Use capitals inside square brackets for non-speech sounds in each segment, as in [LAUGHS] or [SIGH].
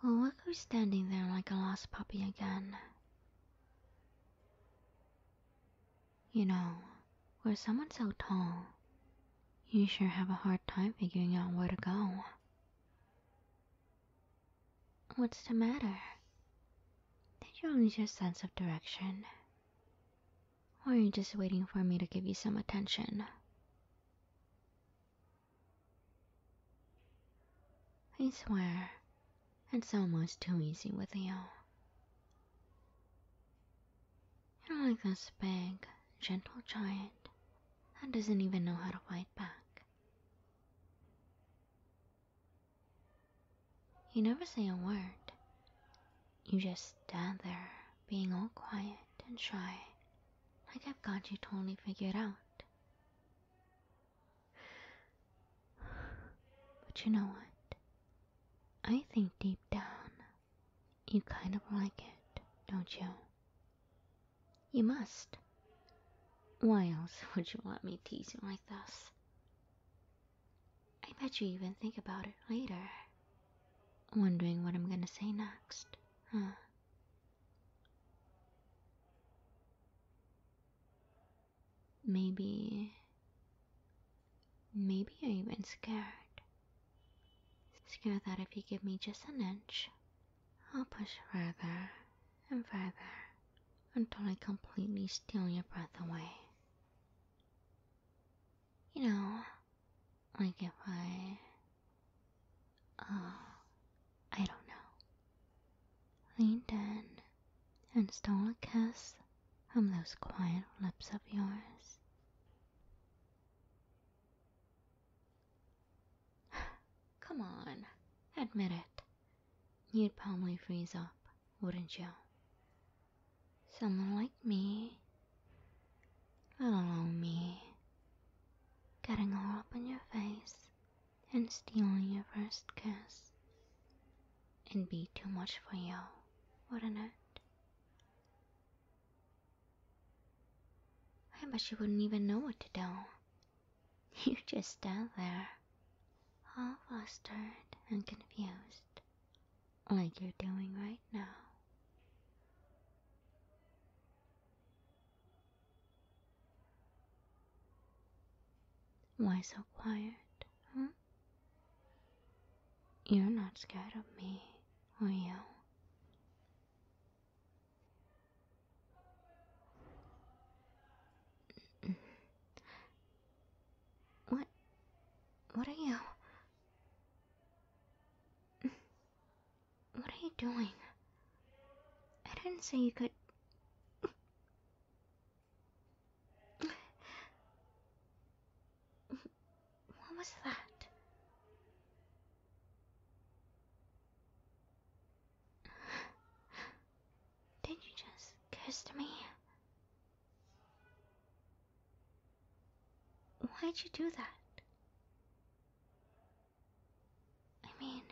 Well, what are you standing there like a lost puppy again. You know, where someone's so tall, you sure have a hard time figuring out where to go. What's the matter? Did you lose your sense of direction? Or are you just waiting for me to give you some attention? I swear, it's almost too easy with you. You're like this big, gentle giant that doesn't even know how to fight back. You never say a word, you just stand there, being all quiet and shy, like I've got you totally figured out. But you know what? I think deep down, you kind of like it, don't you? You must. Why else [LAUGHS] would you let me tease you like this? I bet you even think about it later. Wondering what I'm gonna say next, huh? Maybe. Maybe you're even scared. Scared that if you give me just an inch, I'll push further and further until I completely steal your breath away you know, like if I, uh, I don't know, leaned in and stole a kiss from those quiet lips of yours. [SIGHS] Come on, admit it. You'd probably freeze up, wouldn't you? Someone like me, I don't know me, getting all up in your face and stealing your first kiss. and be too much for you, wouldn't it? I bet you wouldn't even know what to do. [LAUGHS] You just stand there, all flustered and confused, like you're doing right now. Why so quiet, huh? You're not scared of me, are you? What? What are you? What are you doing? I didn't say you could. What was that? Did you just kiss me? Why'd you do that? I mean,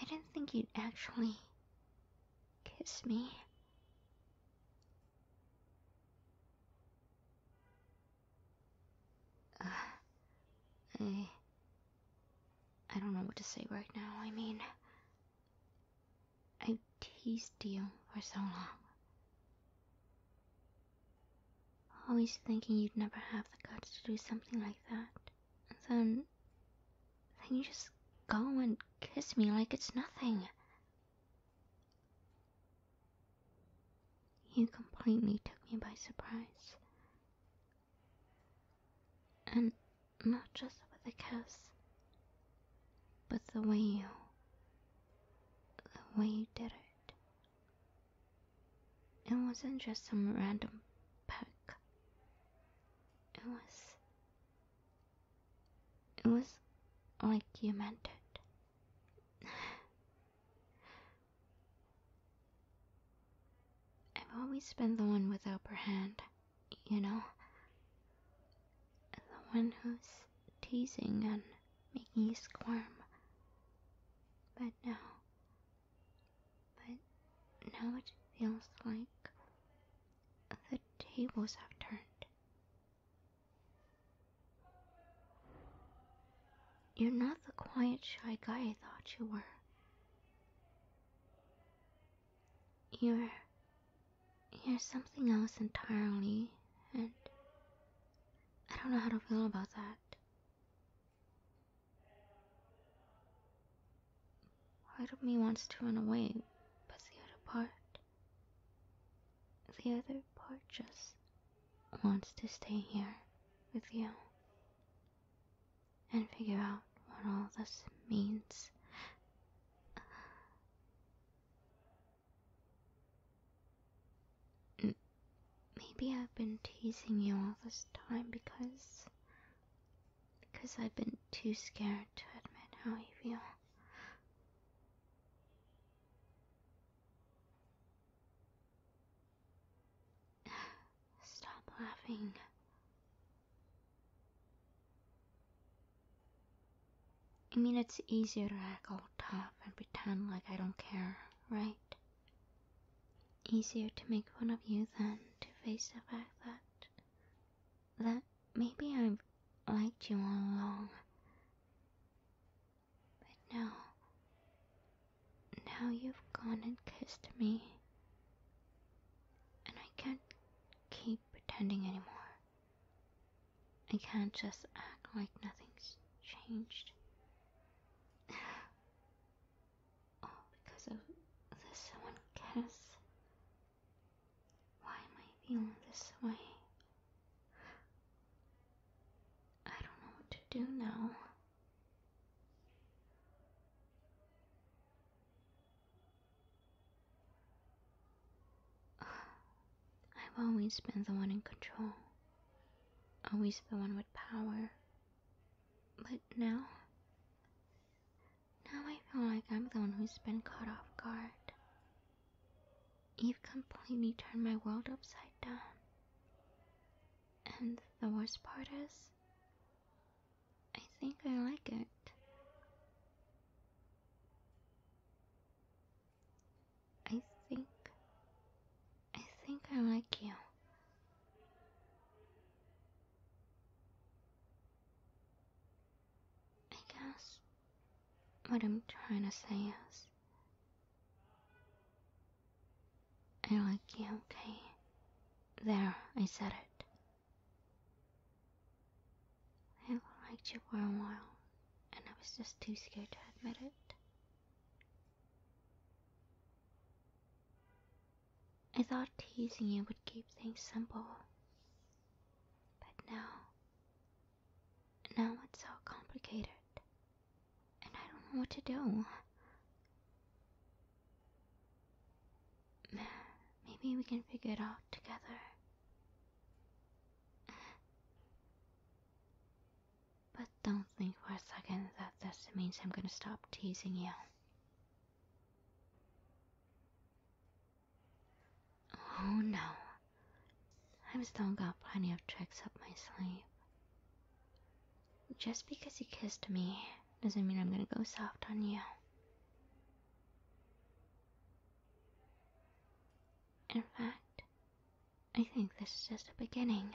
I didn't think you'd actually kiss me. Uh, I. I don't know what to say right now. I mean, I teased you for so long. Always thinking you'd never have the guts to do something like that. And then. then you just go and kiss me like it's nothing. You completely took me by surprise. And not just with a kiss, but the way you, the way you did it. It wasn't just some random peck. It was, it was like you meant it. [LAUGHS] I've always been the one with the upper hand you know? The one who's teasing and making you squirm. But now. But now it feels like the tables have turned. You're not the quiet, shy guy I thought you were. You're. You're something else entirely, and I don't know how to feel about that. Part of me wants to run away, but the other part. The other part just wants to stay here with you and figure out what all this means. Maybe I've been teasing you all this time because. because I've been too scared to admit how I feel. Stop laughing. I mean, it's easier to act all tough and pretend like I don't care, right? Easier to make fun of you than to face the fact that. that maybe I've liked you all along. But no, now you've gone and kissed me, and I can't keep pretending anymore. I can't just act like nothing's changed. [SIGHS] All because of this one kiss. Why am I feeling this way? I don't know what to do now. [SIGHS] I've always been the one in control, always the one with power. But now, now I feel like I'm the one who's been caught off guard. You've completely turned my world upside down. And the worst part is, I think I like it. I think. I think I like you. I guess what I'm trying to say is I like you, okay? There, I said it. I liked you for a while, and I was just too scared to admit it. I thought teasing you would keep things simple. But now, now it's so complicated and I don't know what to do. Maybe we can figure it out together. But don't think for a second that this means I'm gonna stop teasing you. Oh no. I've still got plenty of tricks up my sleeve. Just because you kissed me doesn't mean I'm gonna go soft on you. In fact, I think this is just the beginning.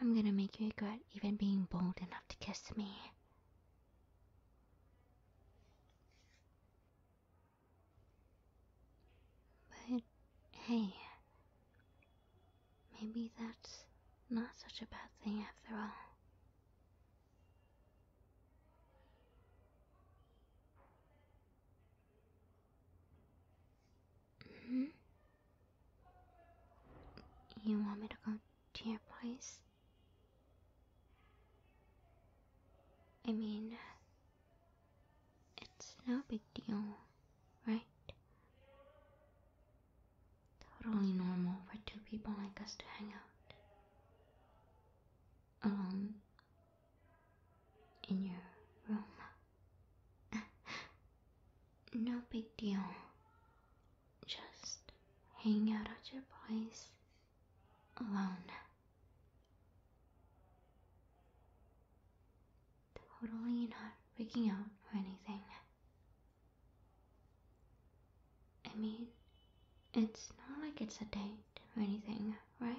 I'm gonna make you regret even being bold enough to kiss me. But hey, Maybe that's not such a bad thing after all. hmm You want me to go to your place? I mean, it's no big deal, right? Totally normal for two people like us to hang out. Alone. In your room. [LAUGHS] no big deal. Just hang out at your place. Alone. Totally not freaking out or anything. I mean, it's not like it's a date or anything, right?